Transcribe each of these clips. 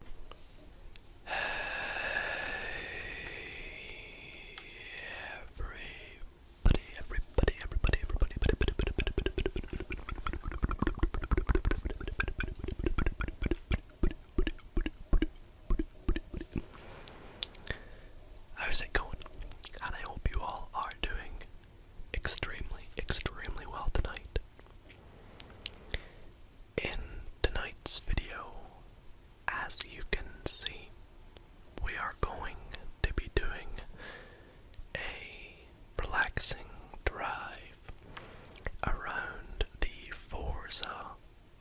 everybody, everybody, everybody, everybody, everybody. How's it going? And I hope you all are doing extremely, extremely well tonight. In tonight's video, as you can see, we are going to be doing a relaxing drive around the Forza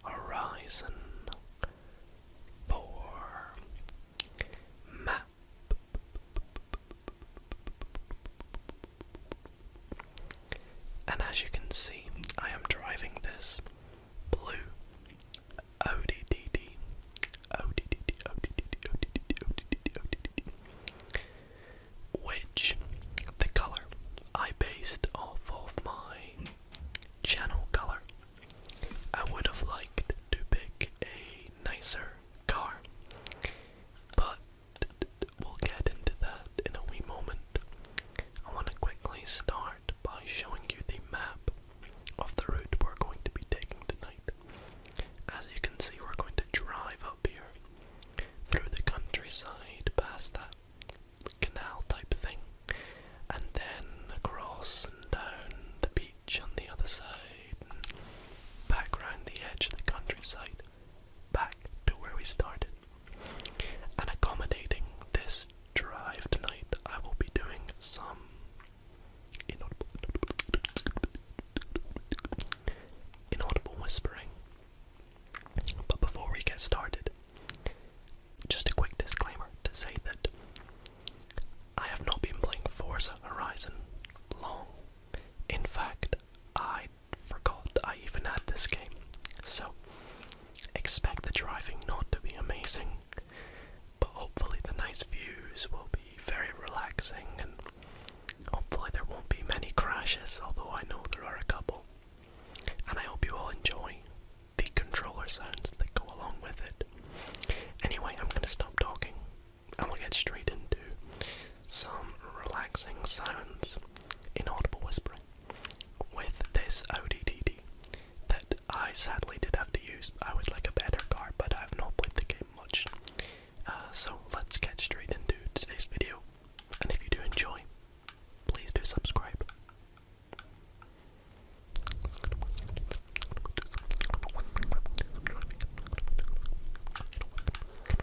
Horizon 4 map. And as you can see, I am driving this blue ODDD ODDD ODDD ODDD ODDD ODDD which the color I based off of my channel color. I would have liked to pick a nicer car, but We'll get into that in a wee moment. I want to quickly start by showing you the map of the route we're going to be taking tonight. As you can see, we're going to drive up here through the countryside, past that canal type thing, and then across and down the beach on the other side, back round the edge of the countryside, back to where we started. And accommodating this drive tonight, I will be doing some inaudible, whispering. But before we get started, just a quick disclaimer to say that I have not been playing Forza Horizon long. In fact, I forgot I even had this game. So, expect the driving not to be amazing, but hopefully the nice views will be very relaxing and hopefully there won't be many crashes, although I know there are a couple. And I hope you all enjoy the controller sounds that go along with it. Anyway, I'm gonna stop talking and we'll get straight into some relaxing sounds, inaudible whispering, with this ODDD that I sadly did have to use. I would like a better car, but I've not played the game much. Uh, so let's get straight into today's video, and if you do enjoy, please do subscribe.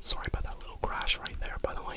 Sorry about that little crash right there, by the way.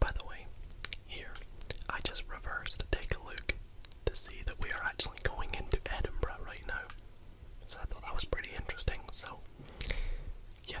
By the way, here I just reversed to take a look to see that we are actually going into Edinburgh right now. So I thought that was pretty interesting. So, yeah.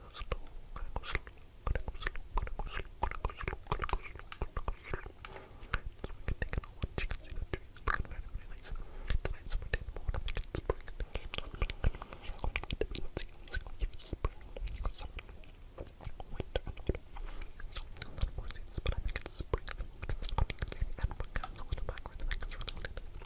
slow, gotta go slow, gotta go slow, gotta go slow, gotta go slow, gotta go slow, gotta go slow. So we can take it all once, you can see the trees looking very, very nice. Tonight's summer day in the morning, it's spring. Let's see, let's go through spring, summer, winter, and autumn. So, a lot of more seasons, but I think it's spring. And we're kind of in the background, I think it's really, really nice.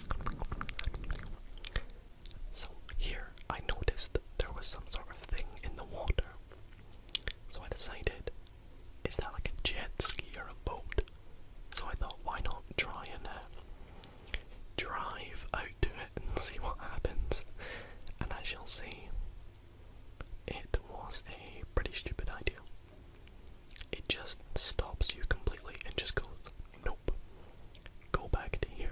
So here I noticed there was some sort of thing in the water. So I decided, is that like a jet ski or a boat? So I thought, why not try and uh, drive out to it and see what happens? And as you'll see. It was a pretty stupid idea. It just stops you completely and just goes, nope, go back to here.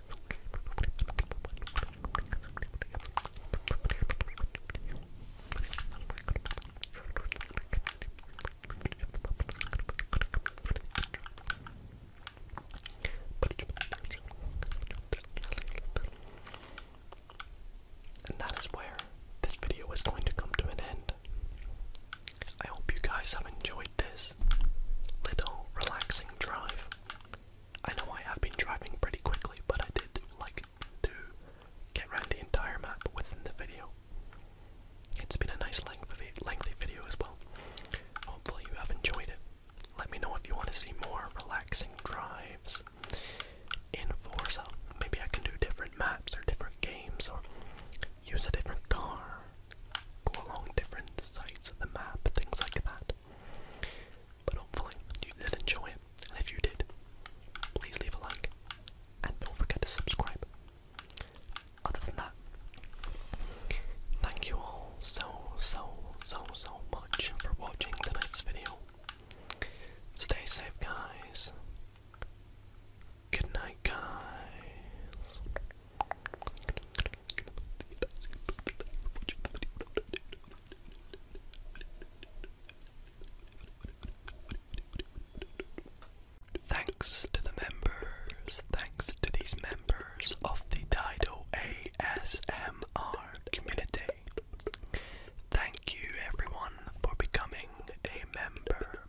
And that is where this video is going to come to an end. I hope you guys have enjoyed this little relaxing drive. I know I have been driving pretty quickly, but I did like to get around the entire map within the video. It's been a nice length lengthy, lengthy video as well. Hopefully you have enjoyed it. Let me know if you want to see more relaxing drives in Forza. Maybe I can do different maps or different games or use a different car go along different sides of the map, things like that. But hopefully you did enjoy if you did, please leave a like, and don't forget to subscribe. Other than that, thank you all so, so, so, so much for watching tonight's video. Stay safe, guys. Good night, guys. Thanks to the members, thanks to these members of the Dido ASMR community. Thank you everyone for becoming a member,